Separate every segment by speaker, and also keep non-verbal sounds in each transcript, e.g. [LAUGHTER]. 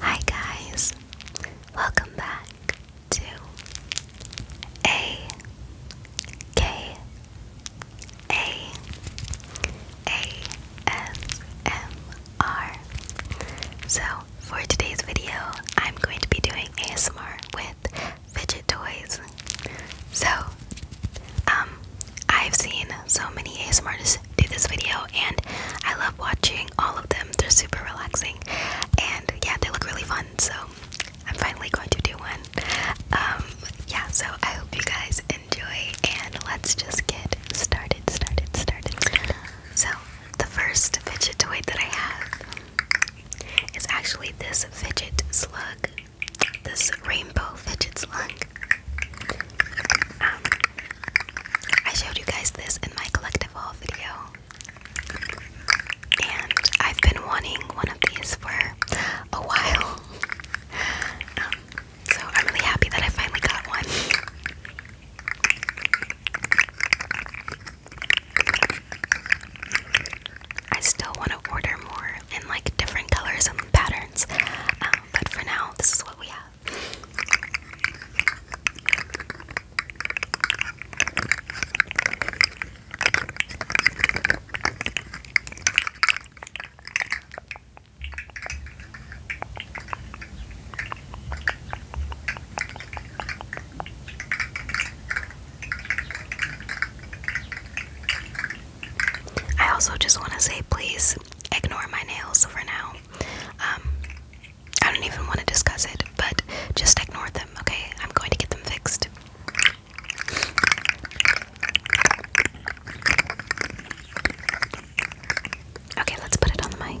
Speaker 1: Hi, guys, welcome back to A K A A S M R. So, for today's video, I'm going to be doing ASMR with fidget toys. So, um, I've seen so many ASMR artists do this video and I love watching all of them. They're super relaxing and yeah, they look really fun. So I'm finally going to do one. Um, yeah, so I hope you guys enjoy and let's just get started, started, started. So the first fidget toy that I have is actually this fidget slug this rainbow fidgets slug. Um, I showed you guys this in my collective haul video, and I've been wanting one of these for a while. [LAUGHS] Um, so I'm really happy that I finally got one. I still want to order more in like different colors and patterns. Um, but for now, this is what we have. I also just want to say please ignore my nails for now. Um, I don't even want to discuss it, but just ignore them, okay? I'm going to get them fixed. Okay, let's put it on the mic.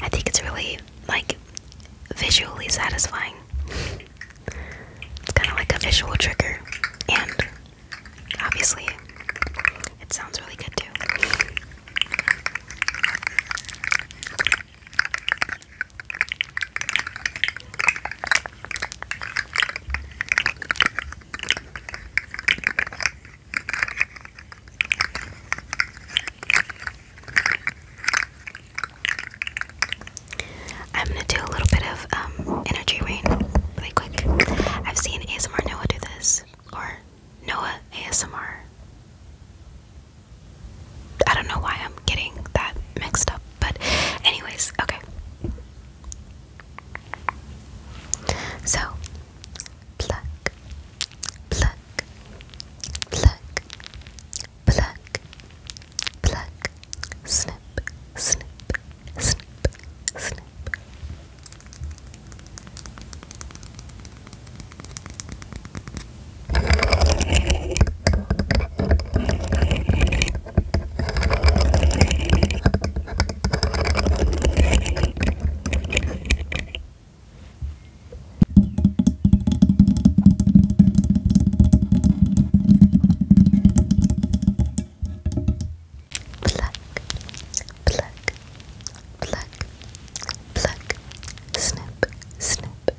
Speaker 1: I think it's really like visually satisfying. It's kind of like a visual trigger, and obviously, it sounds really good too. I'm gonna do a little bit of um, energy rain really quick. I've seen ASMR Noah do this, or Noah ASMR. I don't know why I'm getting that mixed up, but, anyways, okay. So, pluck, pluck, pluck, pluck, pluck, snip, snip, snip, snip. Pluck, pluck, pluck, pluck, snip, snip,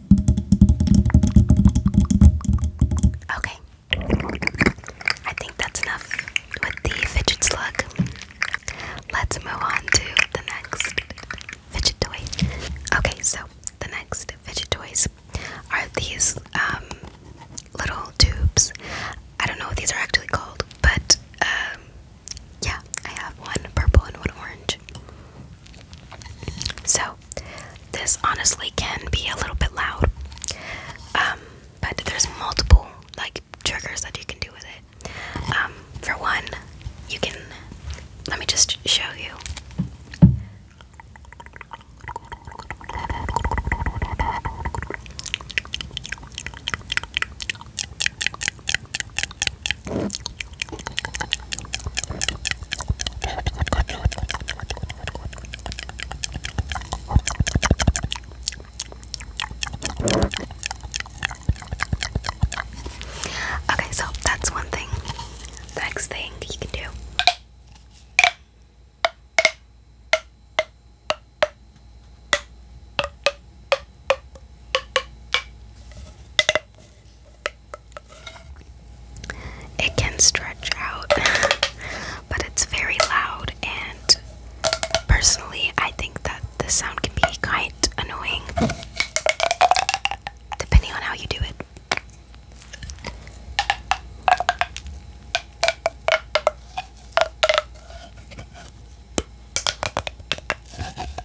Speaker 1: Okay. I think that's enough with the fidget slug. Let's move on to the next fidget toy. Okay, so the next fidget toys are these um, little tubes. I don't know what these are actually called, but um, yeah, I have one purple and one orange. So, this honestly can be a little bit loud, um, but there's multiple like triggers that you can do with it. Um, for one, you can let me just show you. Okay, so that's one thing. next thing you can do. It can stretch out, [LAUGHS] but it's very loud, and personally, I think that the sound can be quite annoying depending on how you do it.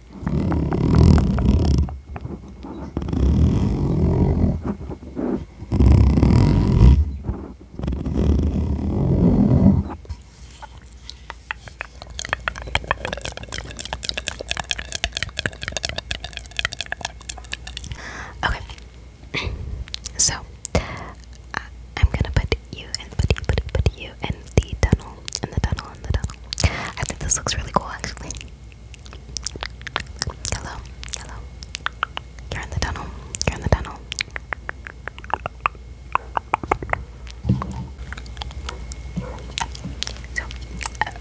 Speaker 1: Okay. [CLEARS THROAT] so uh, I'm gonna put you and put you put, you in the tunnel in the tunnel in the tunnel. I think this looks really cool actually. Hello, hello. You're in the tunnel. You're in the tunnel. So.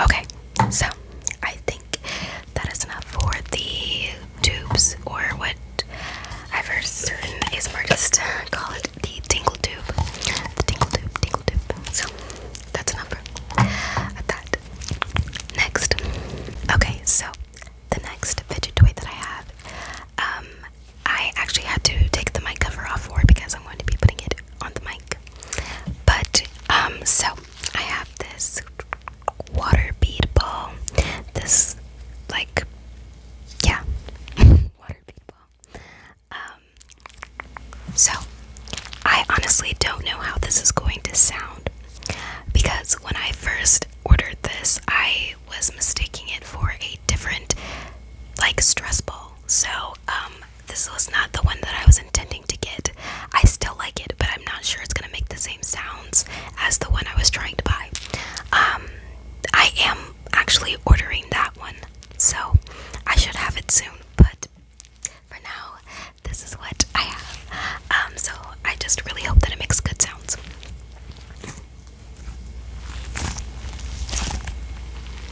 Speaker 1: Okay, so I think that is enough for the tubes, or what I've heard certain ASMR artists call it the tingle tube. The tingle tube, tingle tube. So that's enough for that. Next. Okay, so the next fidget toy that I have, um, I actually had to take the mic cover off for because I'm going to be putting it on the mic. But um so I have this water bead ball. This like yeah [LAUGHS] water bead ball. Um so I honestly don't know how this is going to sound because when I first ordered this I was mistaking it for a different like stress ball. So um this was not the one that I was intending to get. I still like it, but I'm not sure it's gonna make the same sounds as the one I was trying to buy. Um, I am actually ordering that one, so I should have it soon. But for now, this is what I have. Um, so I just really hope that it makes good sounds.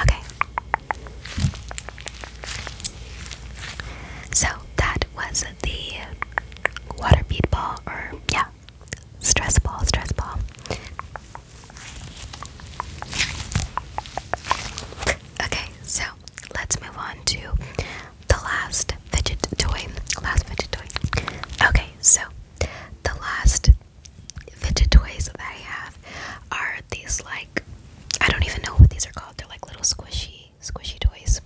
Speaker 1: Okay. So that was the water bead ball, or yeah, stress ball, stress ball. Okay, so let's move on to the last fidget toy. Last fidget toy. Okay, so the last fidget toys that I have are these like I don't even know what these are called. They're like little squishy, squishy toys.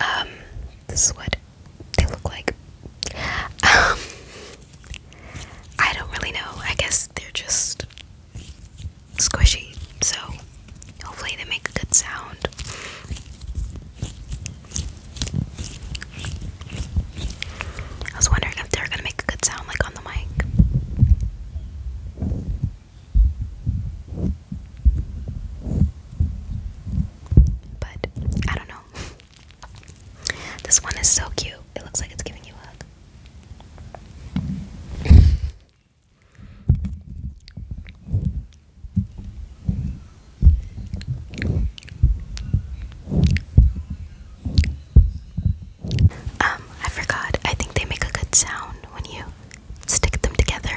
Speaker 1: Um, this is what they look like. Um, I don't really know. I guess they're just squishy, so hopefully they make a good sound. I was wondering if they're gonna make a good sound like on the mic. But I don't know. This one is so cute. It looks like it's giving you a hug. Um, I forgot. I think they make a good sound when you stick them together.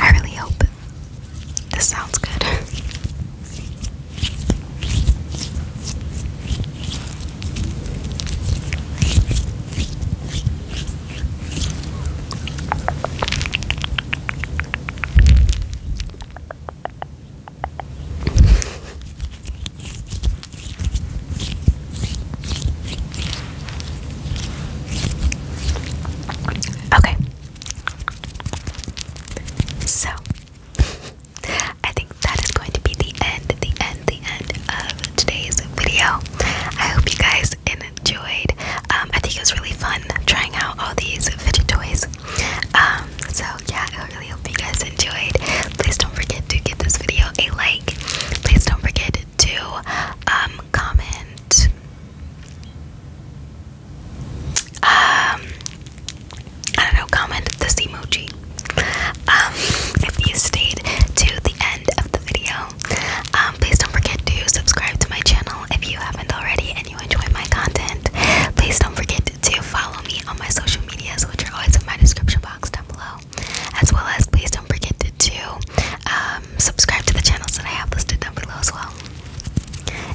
Speaker 1: I really hope this sounds good. [LAUGHS] Okay. So, I think that is going to be the end, the end, the end of today's video. I hope you guys enjoyed. Um, I think it was really fun trying out all these fidget toys. Um, so yeah, I really hope you guys enjoyed. Please don't forget to give this video a like. Please don't forget to um, comment. I don't know, comment this emoji. if you stayed to the end of um, please don't forget to subscribe to my channel if you haven't already and you enjoy my content. Please don't forget to follow me on my social medias, which are always in my description box down below. As well as, please don't forget to, um, subscribe to the channels that I have listed down below as well.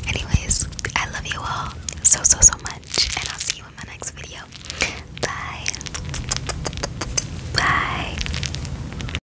Speaker 1: Anyways, I love you all so, so, so much, and I'll see you in my next video. Bye. Bye.